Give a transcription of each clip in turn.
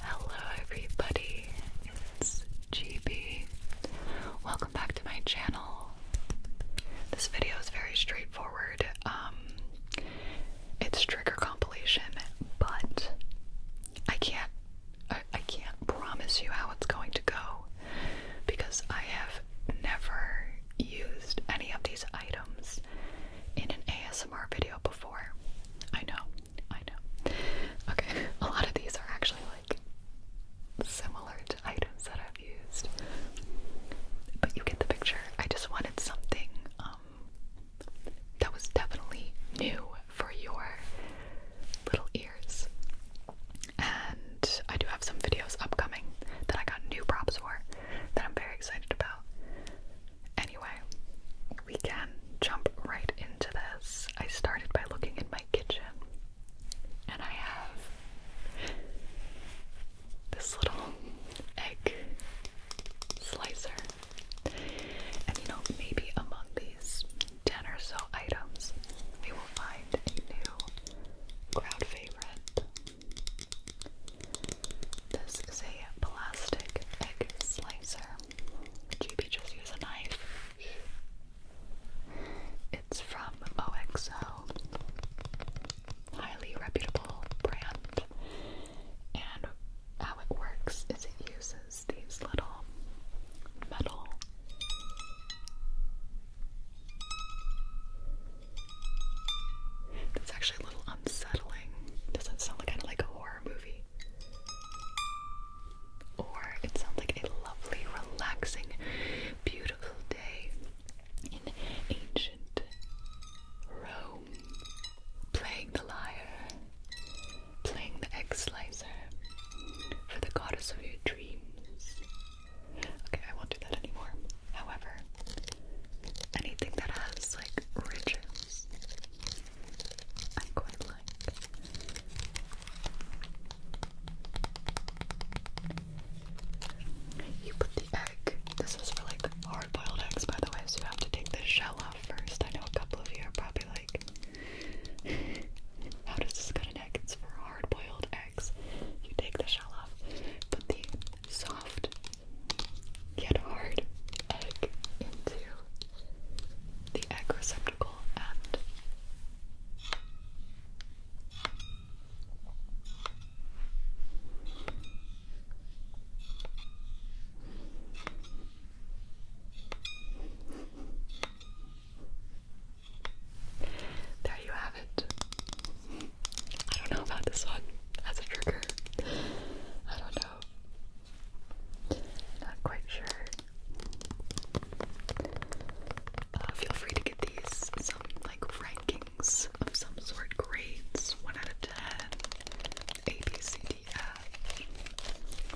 Hello, everybody, it's GB. Welcome back to my channel. This video is very straightforward. Um, it's trigger compilation, but I can't, I can't promise you how it's going to go because I have never used any of these items in an ASMR video before. I know, I know. Okay, a lot of these are actually like similar to items that I've used, but you get the picture. I just wanted something um, that was definitely new for your little ears. And I do have some videos upcoming that I got new props for that I'm very excited about. Anyway, we can jump right into this. I started by looking in my kitchen, and I have this little egg slicer. And you know, maybe among these 10 or so items, we will find a new crowd favorite. This is a plastic egg slicer. GB just use a knife. It's from OXO, highly reputable brand. And how it works is it uses these little metal that's actually a little unsettling. Doesn't sound kind of like a horror movie. Or it sounds like a lovely, relaxing, beautiful day in ancient Rome. Playing the lyre, playing the egg slicer for the goddess of your dreams. Okay, I won't do that anymore. However, anything that has like rituals I quite like. You put the egg. This is for like hard-boiled eggs, by the way. So you have to take the shell off first. I know a couple of you are probably like, "How does this go to egg?" It's for hard-boiled eggs. You take the shell off, put the soft yet hard egg into the egg receptacle and there you have it. I don't know about this one as a trigger. I don't know. Not quite sure. Uh, feel free to get these some like rankings of some sort, grades one out of ten, A, B, C, D, F,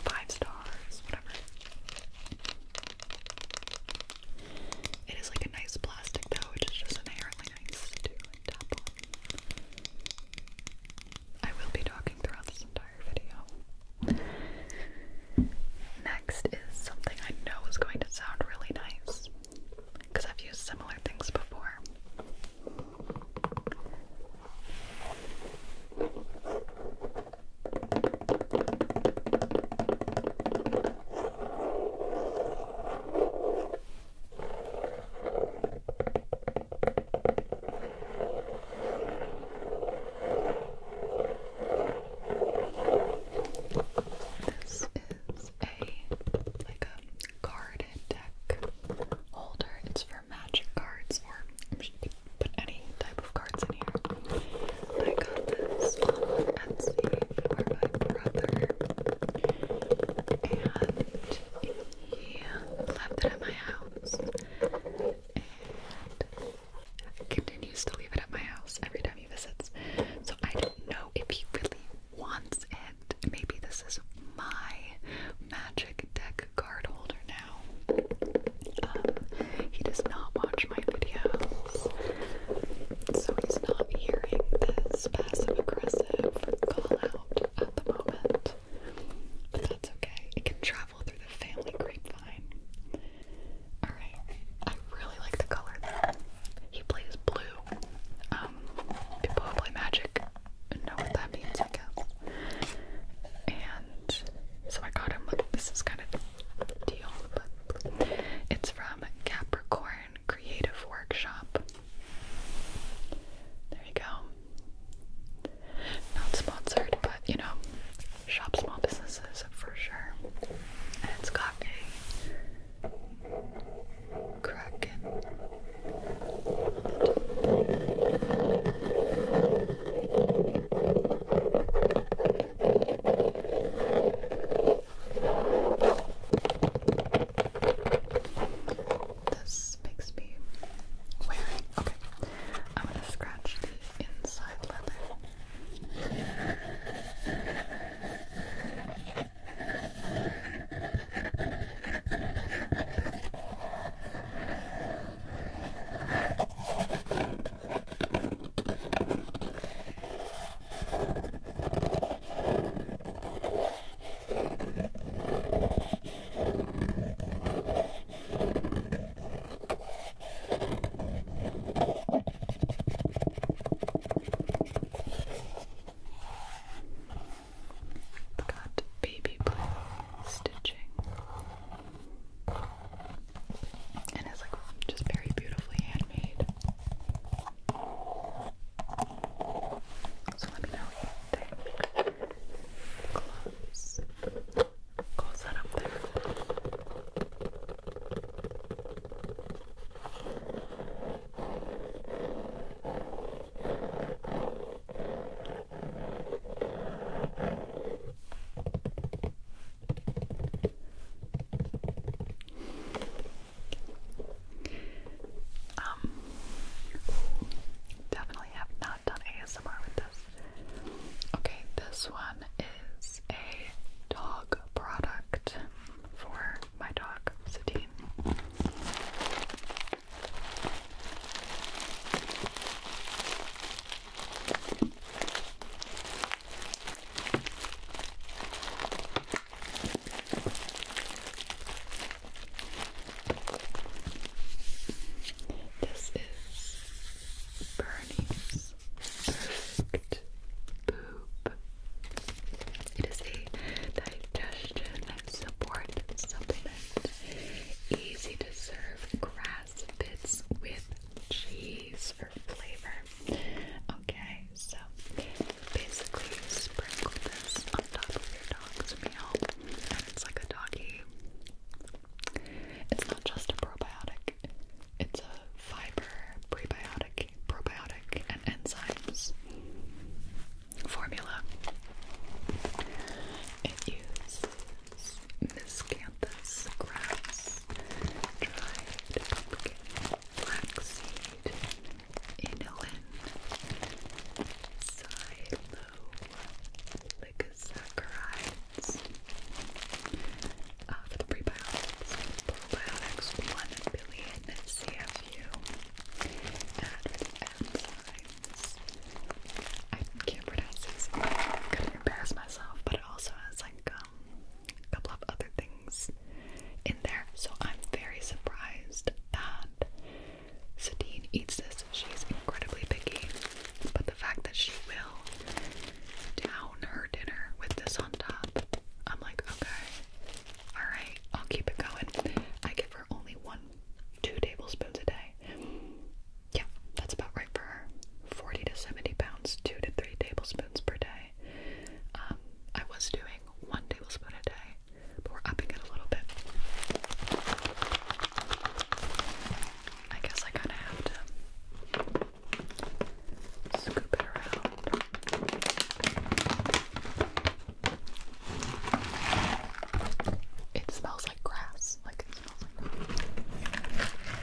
five stars, whatever. It is like a nice plastic though, which is just inherently nice to tap on. I will be talking throughout this entire video. Next is something I know is going to sound really nice because I've used similar things before. This is a like a card deck holder. It's for magic cards or put any type of cards in here. I got this on Etsy for my brother and he left it at my house house. continues to leave it at my house every time he visits. So I don't know if he really wants it. Maybe this is my magic deck card holder now. Um, he does not watch my videos. So he's not hearing this passive aggressive call out at the moment. But that's okay. It can travel through the family grapevine. Alright. I really like the color though. He plays blue. Um, people who play magic know what that means, And so I got him this is kind of a it's from Capricorn Creative Workshop. There you go. Not sponsored, but you know, shop small businesses for sure. And it's got a kraken this makes me wearing. Okay, I'm gonna scratch the inside leather got baby blue stitching. And it's like just very beautifully handmade. So let me know what you think. Close. Close that up there. Um, Definitely have not done ASMR with this. Okay, this one is a dog product for my dog, Satine. This is Bernie's perfect poop. It is a digestion support supplement. Easy to serve grass bits with cheese for flavor. Okay, so basically sprinkle this on top of your dog's meal it's like a doggy. It's not just a probiotic, it's a fiber, prebiotic, probiotic, and enzymes formula. It uses miscanthus grass, dried pumpkin, flaxseed, inulin, silo, polysaccharides uh, for the prebiotics, probiotics, 1 billion CFU, and enzymes. I can't pronounce these, I'm gonna embarrass myself, but it also has like um, a couple of other things in there, so I'm very surprised that Satine eats this. She's incredibly picky, but the fact that she will down her dinner with this on top, I'm like, okay, all right, I'll keep it going. I give her only one, two tablespoons a day. Yeah, that's about right for her. 40 to 70 pounds, two to three tablespoons per day. Um, I was doing one tablespoon a day, but we're upping it a little bit. I guess I kind of have to scoop it around. It smells like grass. Like it smells like grass.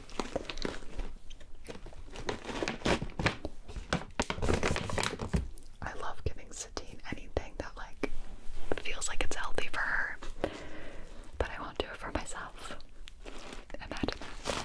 I love giving Sadie anything that like feels like it's healthy for her, but I won't do it for myself. Imagine that.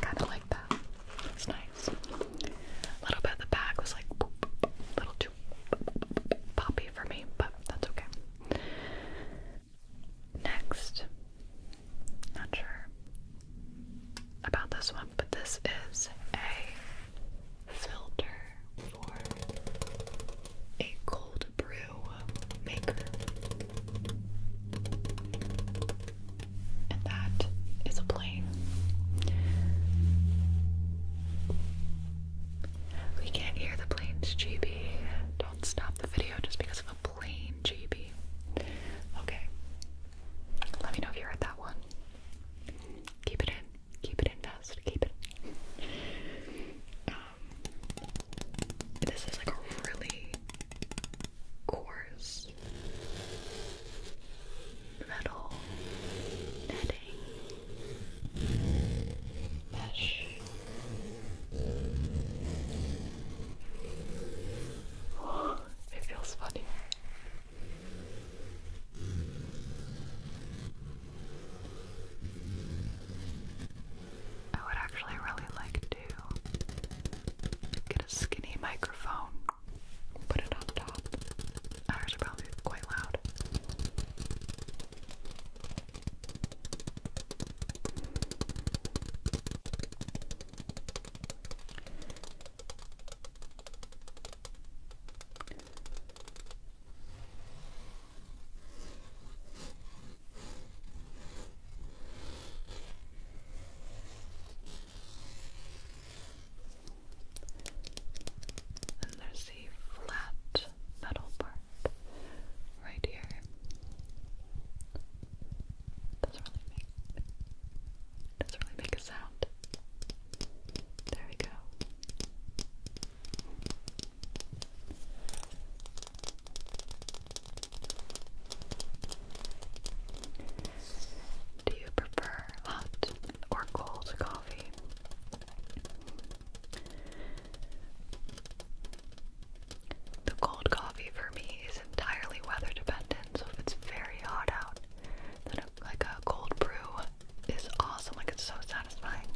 kind of like that. It's nice. A little bit of the back was like a little too poppy for me, but that's okay. Next, not sure about this one, but this is a filter for a cold brew maker. And that is a plane. We can't hear the plane's GB. Don't stop the video just because of a plane GB. Okay. Let me know if you're that one. Keep it in. Keep it in fast. Keep it. This is like a really coarse metal netting mesh. it feels funny. I would actually really like to get a skinny microphone, put it on top. Ours probably quite loud. Then there's the flat metal part right here. Doesn't really make doesn't really make a sound. There we go. Do you prefer hot or cold coffee? The cold coffee for me is entirely weather dependent, so if it's very hot out, then a, like a cold brew is awesome, like it's so satisfying.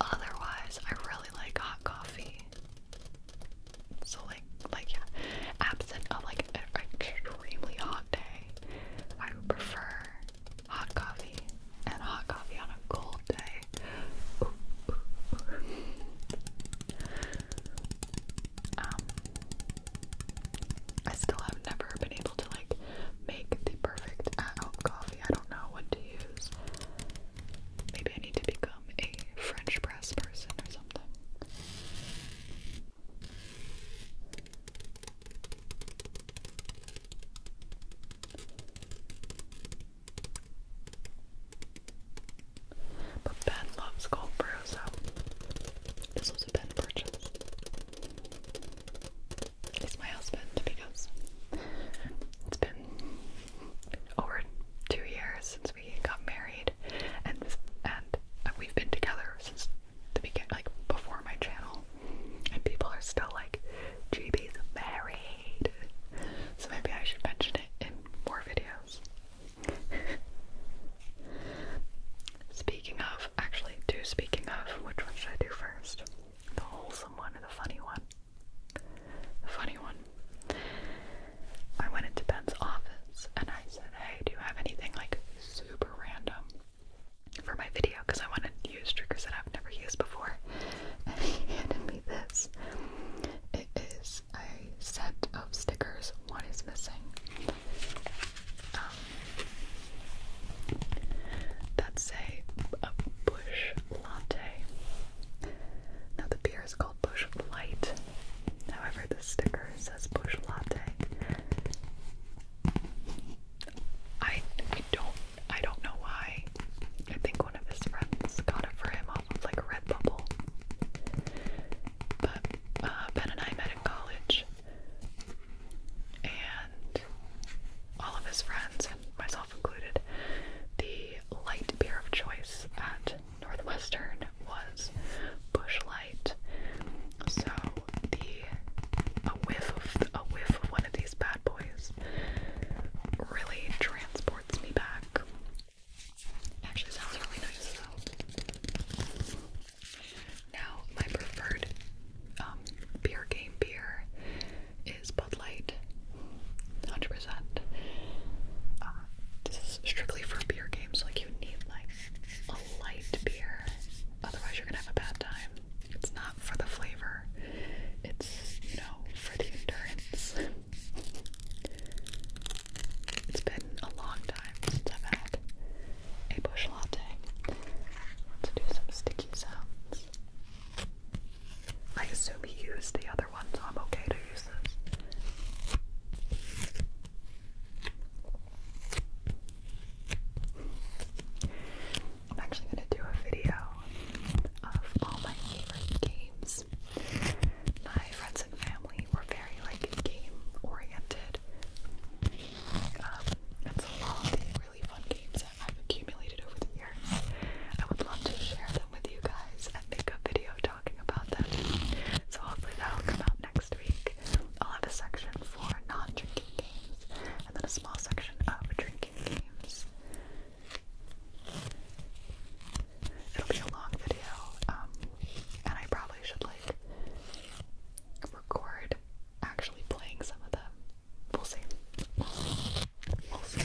Otherwise, I really like hot coffee. So like, like yeah, absent of like an extremely hot day, I would prefer hot coffee and hot coffee on a cold day. Um, I still have never been able to like make the perfect hot coffee. I don't know what to use. Maybe I need to become a French but Ben loves cold brew, so this was a Ben purchase. He's my husband because it's been over two years we got married, and and we've been together since the beginning, like before my channel. And people are still like, "GB's married," so maybe I should mention it in more videos. speaking of, actually, two speaking of, which one should I do first? The wholesome one or the funny one? funny one. I went into Ben's office and I said, Hey, do you have anything like super random for my video? Because I want to use stickers that I've never used before. And he handed me this. It is a set of stickers, one is missing. Um, that's a uh, bush latte. Now the beer is called called Bush Light. However, the sticker says Bush Latte. I, don't I don't know why. I think one of his friends got it for him off of like Redbubble. But uh, Ben and I met in college, and all of his friends, and myself included, the light beer of choice at Northwestern was Bushlight. So the a whiff of a whiff of one of these bad boys really transports me back. Actually, sounds really nice though. Now, my preferred um, beer game beer is Bud Light. 100%. Uh, this is strictly for beer games, like you need like a light beer, otherwise you're gonna have a bad time. It's not for the flavor, it's, you know, for the endurance. It's been a long time since I've had a bush latte. let do some sticky sounds. I assume he used the other I'm actually going to do a video of all my favorite games. My friends and family were very like game oriented. Um, and so all really fun games that I've accumulated over the years. I would love to share them with you guys and make a video talking about them. So hopefully that'll come out next week. I'll have a section for non-drinking games and then a small section of drinking games. It'll be a long video, um, and I probably should like record actually playing some of them. We'll see. We'll see.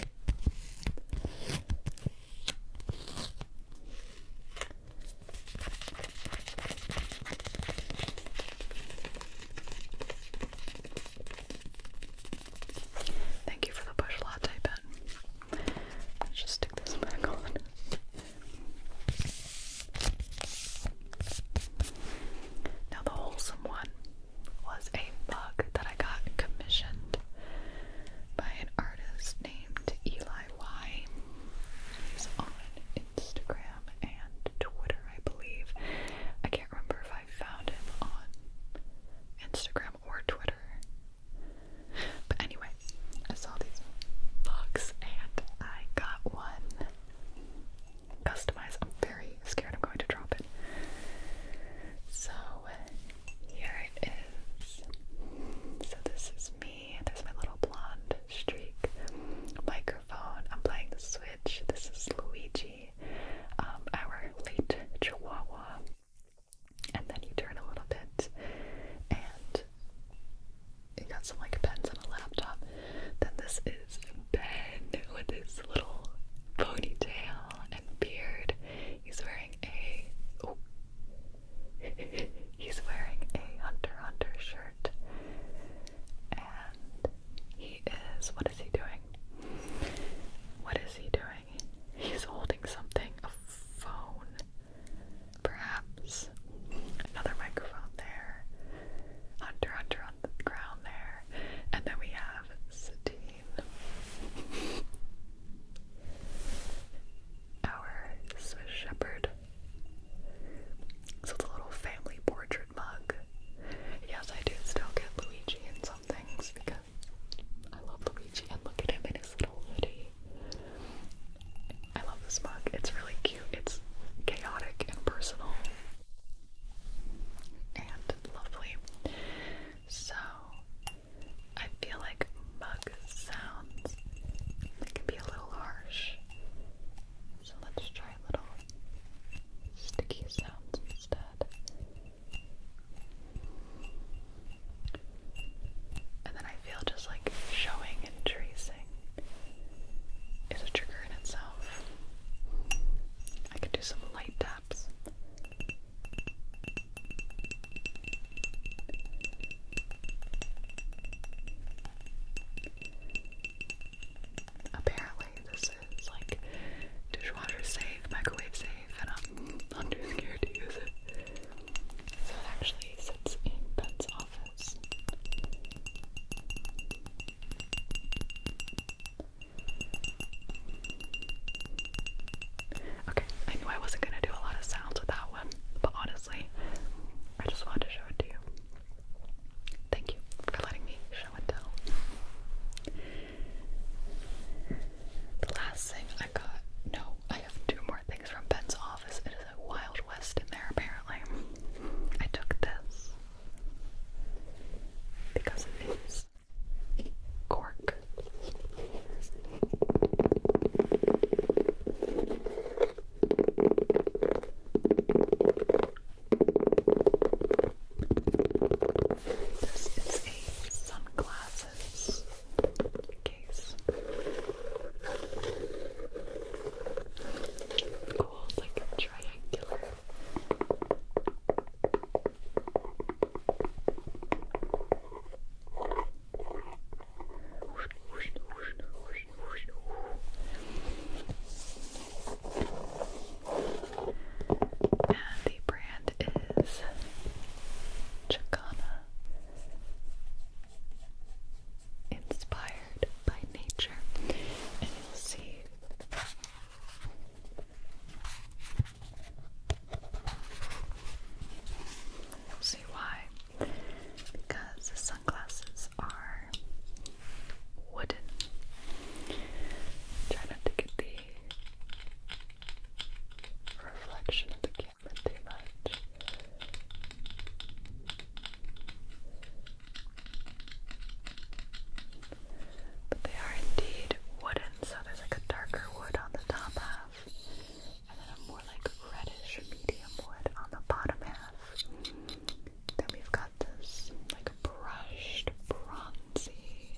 Thank you for the bush latte pen. Let's just stick this back on. Now, the wholesome one was a bug that I got commissioned by an artist named Eli Y. He's on Instagram and Twitter, I believe. I can't remember if I found him on Instagram or Twitter. But anyway, I saw these books and I got one customized. I'm very scared I'm going to drop it. So here it is. So this is me. There's my little blonde streak microphone. I'm playing the Switch. This is Luigi, um, our late Chihuahua. And then you turn a little bit, and you got some like pens on a laptop. Then this is Ben with his little ponytail and beard. He's wearing a He's wearing a Hunter Hunter shirt. And he is. What is he doing? What is he doing? He's holding something. A phone. Perhaps. Another microphone there. Hunter Hunter on the ground there. And then we have Satine our Swiss Shepherd. So it's a little family portrait mug. Yes, I do still get Luigi in some things because I love Luigi and look at him in his little hoodie. I love this mug. It's really cute. It's chaotic and personal and lovely. So I feel like mug sounds it can be a little harsh. So let's try little sticky sounds instead. And then I feel just like showing and tracing is a trigger in itself. I could do some light taps. Apparently, this is like dishwasher safe, microwave safe, and I'm under scared to use it. So it actually sits in Ben's office. Okay, I knew I wasn't gonna do a lot of sounds with that one, but honestly, I just wanted to show it to you. Thank you for letting me show and tell. The last thing I got, no, I have two more things from Ben's office. It is a Wild West in there, apparently. I took this because it is cork. This is a sunglasses case. Cool, like a triangular. And the brand is Chicana, inspired by nature. And You'll see why. Because the sunglasses are wooden. Try not to get the reflection of the camera too much. But they are indeed wooden, so there's like a darker wood on the top half and then a more like reddish medium wood on the bottom half. Then we've got this like brushed bronzy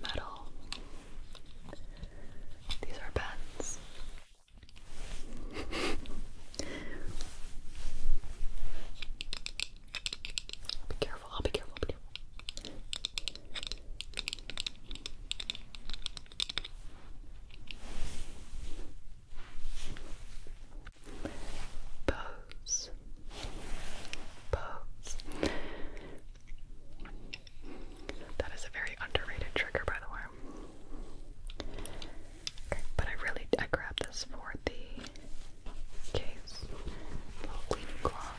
metal. These are pens. be careful, I'll be careful, be careful. Pose. Pose. That is a very underrated trigger, by the way. Okay, but I really I grabbed this for the case, cleaning cloth.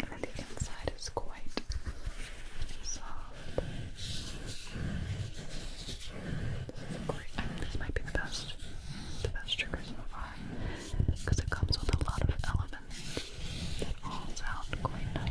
and the inside is quite soft. This might be the best, the best trigger so far because it comes with a lot of elements that all sound quite nice.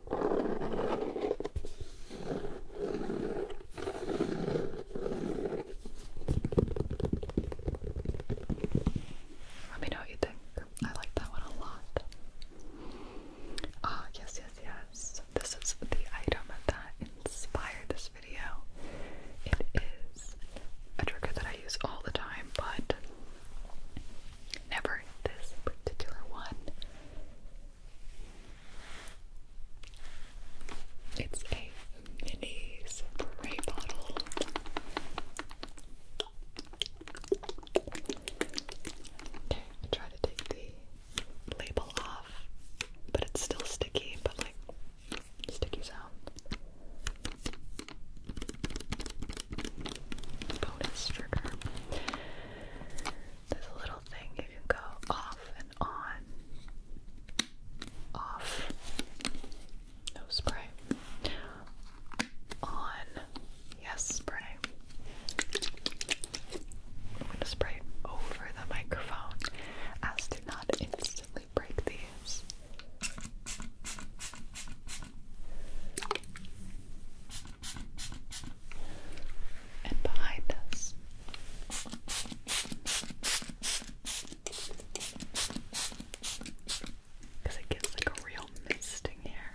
Let me know what you think. I like that one a lot. Ah, yes, yes, yes. This is the item that inspired this video. It is a trigger that I use all the time, but Never this particular one. It's a mini spray bottle. Okay, I try to take the label off, but it's still sticky, but like sticky sound. Bonus trigger. There's a little thing you can go off and on. Off. No spray. On. Yes, spray. I'm going to spray over the microphone as to not instantly break these and behind us. Because it gets like a real mist here.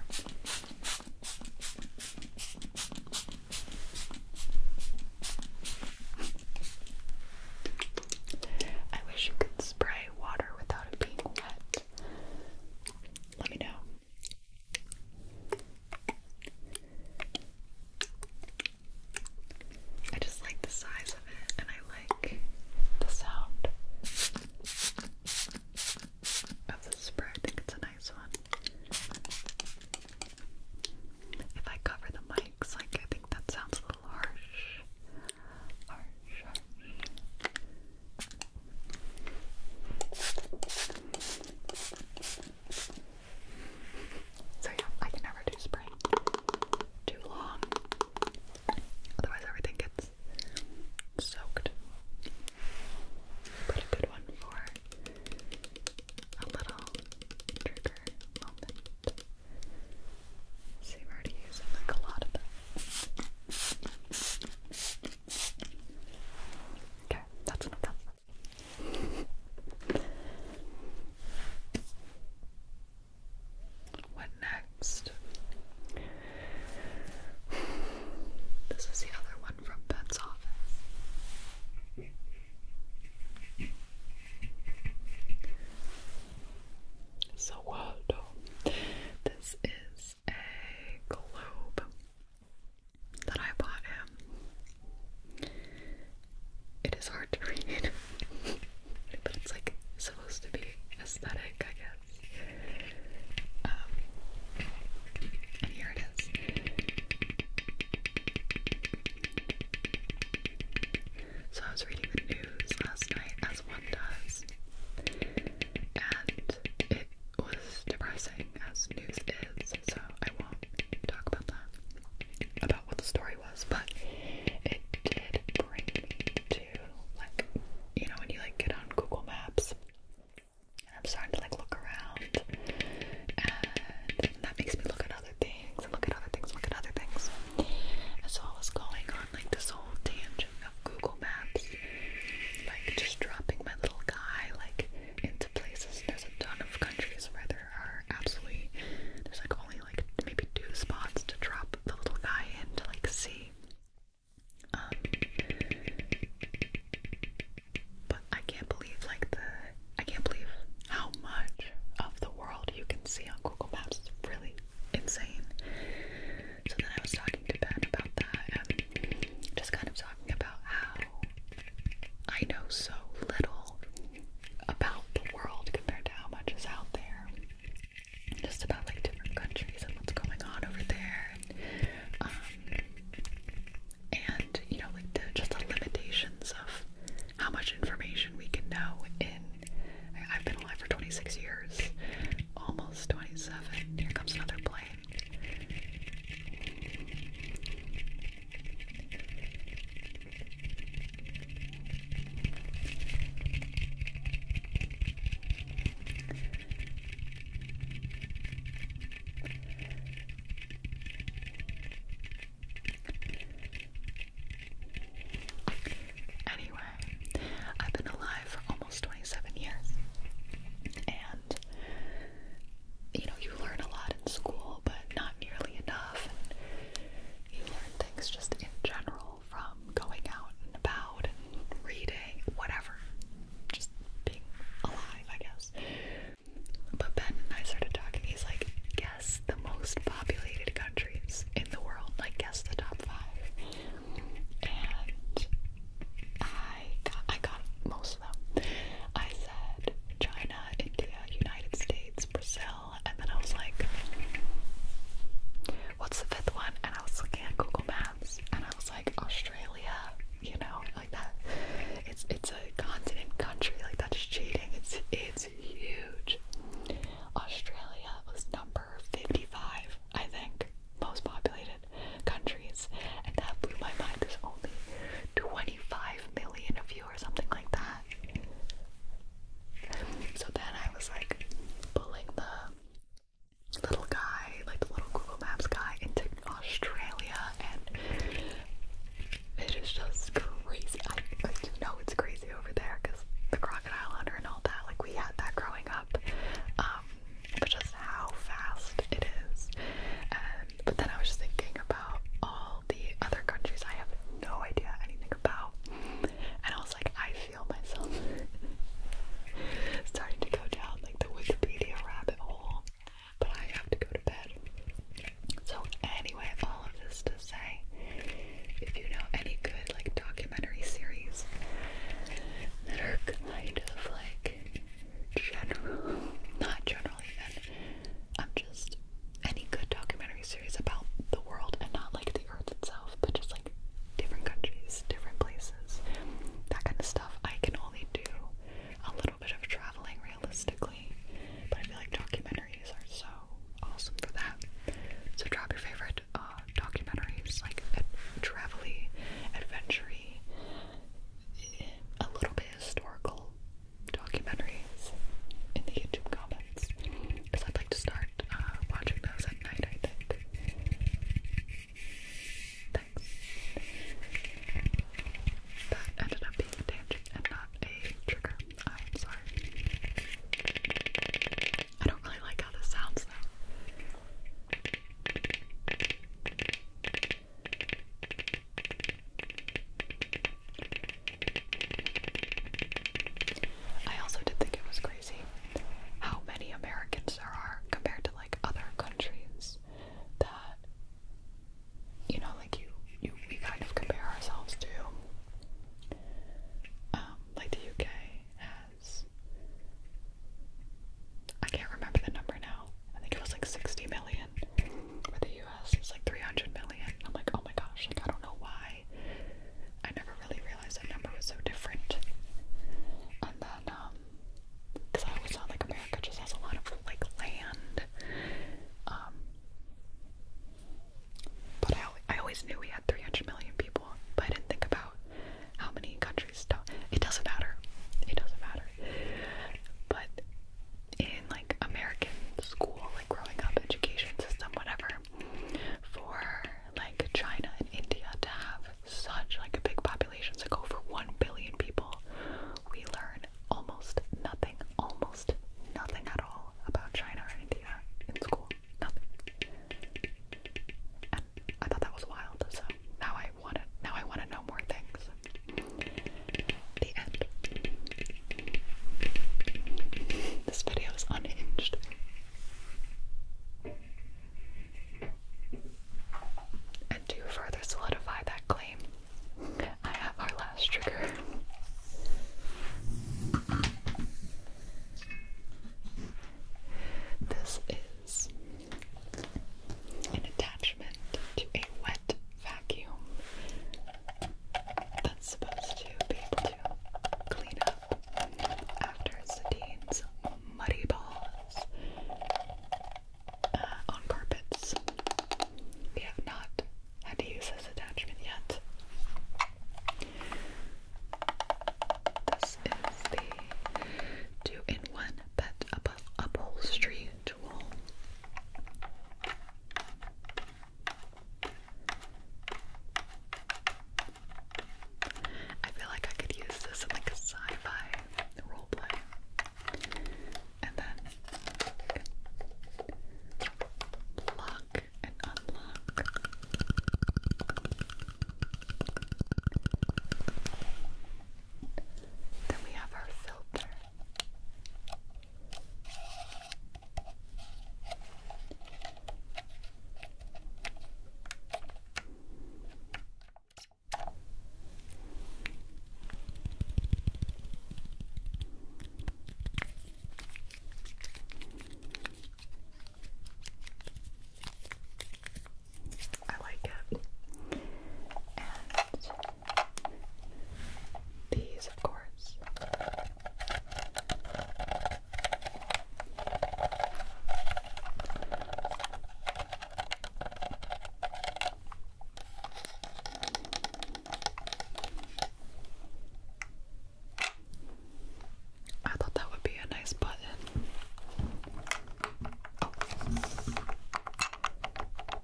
I wish you could spray water without it being wet. Let me know. I just like the size of it and I like the sound of the spray. I think it's a nice one. If I cover the mics, like I think that sounds a little harsh. So, yeah, I can never do spray too long, otherwise, everything gets soaked. But a good one for a little trigger moment. See, we're already using a lot of them. Okay, that's enough. What next? This is the other one from Ben's office. So, well, uh, no. this is a globe that I bought him. It is hard to read, but it's like supposed to be aesthetic, I guess. Um, and here it is. So I was reading the news last night, as one does, and it was depressing as news is, so I won't talk about that, about what the story was, but it did bring to, like, you know, when you, like, get on Google Maps, I'm starting to, like, look around, and that makes me look at other things, look at other things, look at other things, and so I was going on, like, this whole tangent of Google Maps, like just dropping my little guy like into places. There's a ton of countries where there are absolutely there's like only like maybe two spots to drop the little guy in to like see. Um, but I can't believe like the I can't believe how much of the world you can see on Google Maps. really insane. So then I was talking to Ben about that, just kind of talking about how I know so little about the world compared to how much is out there. Just about like different countries and what's going on over there. Um, and, you know, like the, just the limitations of how much information we can know in. I've been alive for 26 years, almost 27. Here comes another plane. Anyway, I've been alive for almost 27 years. And you know, you learn a lot in school, but not nearly enough. you learn things just in general from going out and about and reading, whatever. Just being alive, I guess. But Ben and I started talking. He's like, guess the most populated countries in the world. Like, guess the top five. And I I got, most of them. I said China, India, United States, Brazil, and then I was like, what's the fifth one? And I was looking at Google Maps, and I was like, Australia, you know, like that. It's it's a continent country, like that's cheating. It's it's huge. Australia was number fifty-five, I think most populated countries, and that blew my mind. There's only 25 million of you, or something like that. So then I was like pulling the little guy, like the little Google Maps guy, into Australia, and it is just crazy. I, know it's crazy over there because the crocodile hunter and all that. Like we had that growing up. Um, but just how fast it is. but then I was just thinking about all the other countries I have no idea anything about, and I was like, I feel myself starting to go down like the Wikipedia rabbit hole, but I have to go to bed. So anyway, all of this to say, if you know any good like documentary series that are kind of like Generally, not generally. I'm just any good documentary series about the world and not like the earth itself, but just like different countries, different places, that kind of stuff. I can only do a little bit of traveling realistically, but I feel like documentaries are so awesome for that. So drop your favorite uh, documentaries, like ad travel-y, adventure-y, a little bit historical documentaries in the YouTube comments because I'd like to start uh, watching those at night, I think. That ended up being a tangent and not a trigger. I'm sorry. I don't really like how this sounds though. I also did think it was crazy how many Americans there are compared to like other countries that you know like you you we kind of compare ourselves to. Um, like the UK has I can't remember the number now. I think it was like 60 million for the US. It's like 300 million. I'm like, oh my gosh, I don't know why. I never really realized that number was so different. And then, because um, I always thought like America just has a lot of like land. Um, but I, I always knew we had 300 million people, but I didn't think about how many countries it doesn't matter. It doesn't matter. But in like American school, like growing up, education system, whatever, for like China and India to have such like a big population, it's like over one billion people, we learn almost nothing, almost nothing at all about China or India in school. Nothing. I thought that was wild, so now I wanna now I wanna know more things. The end. This video is unhinged. And to further solidify that claim, I have our last trigger. This is an attachment to a wet vacuum that's supposed to be able to clean up after Sadine's muddy balls uh, on carpets. We have not had to use this attachment yet. This is the two in one pet upholstery ritual. I feel like I could use this in like a sci-fi roleplay. And then lock and unlock. Then we have our filter. I like it. These, of course. I thought that would be a nice button. Oh.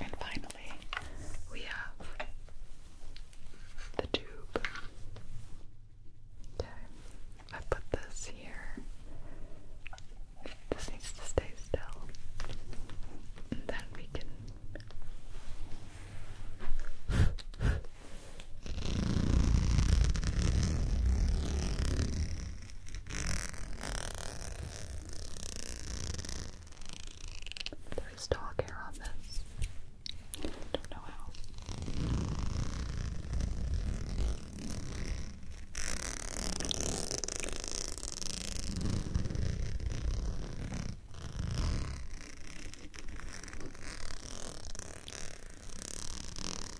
And finally, we have the tube. Okay, I put this here. This needs to stay still. And then we can there is dog hair on this. Don't know how.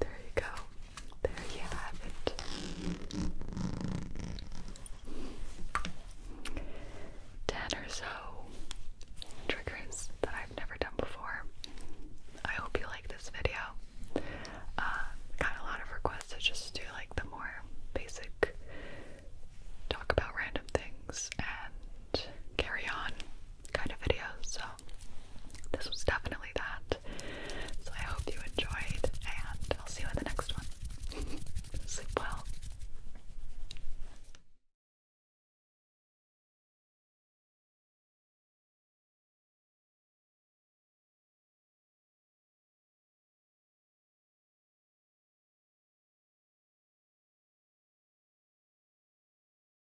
There you go. There you have it. Ten or so triggers that I've never done before. I hope you like this video. Uh, got a lot of requests to just do like the more basic talk about random things and carry on kind of videos. So this was definitely that. So I hope you enjoyed, and I'll see you in the next one. Sleep well.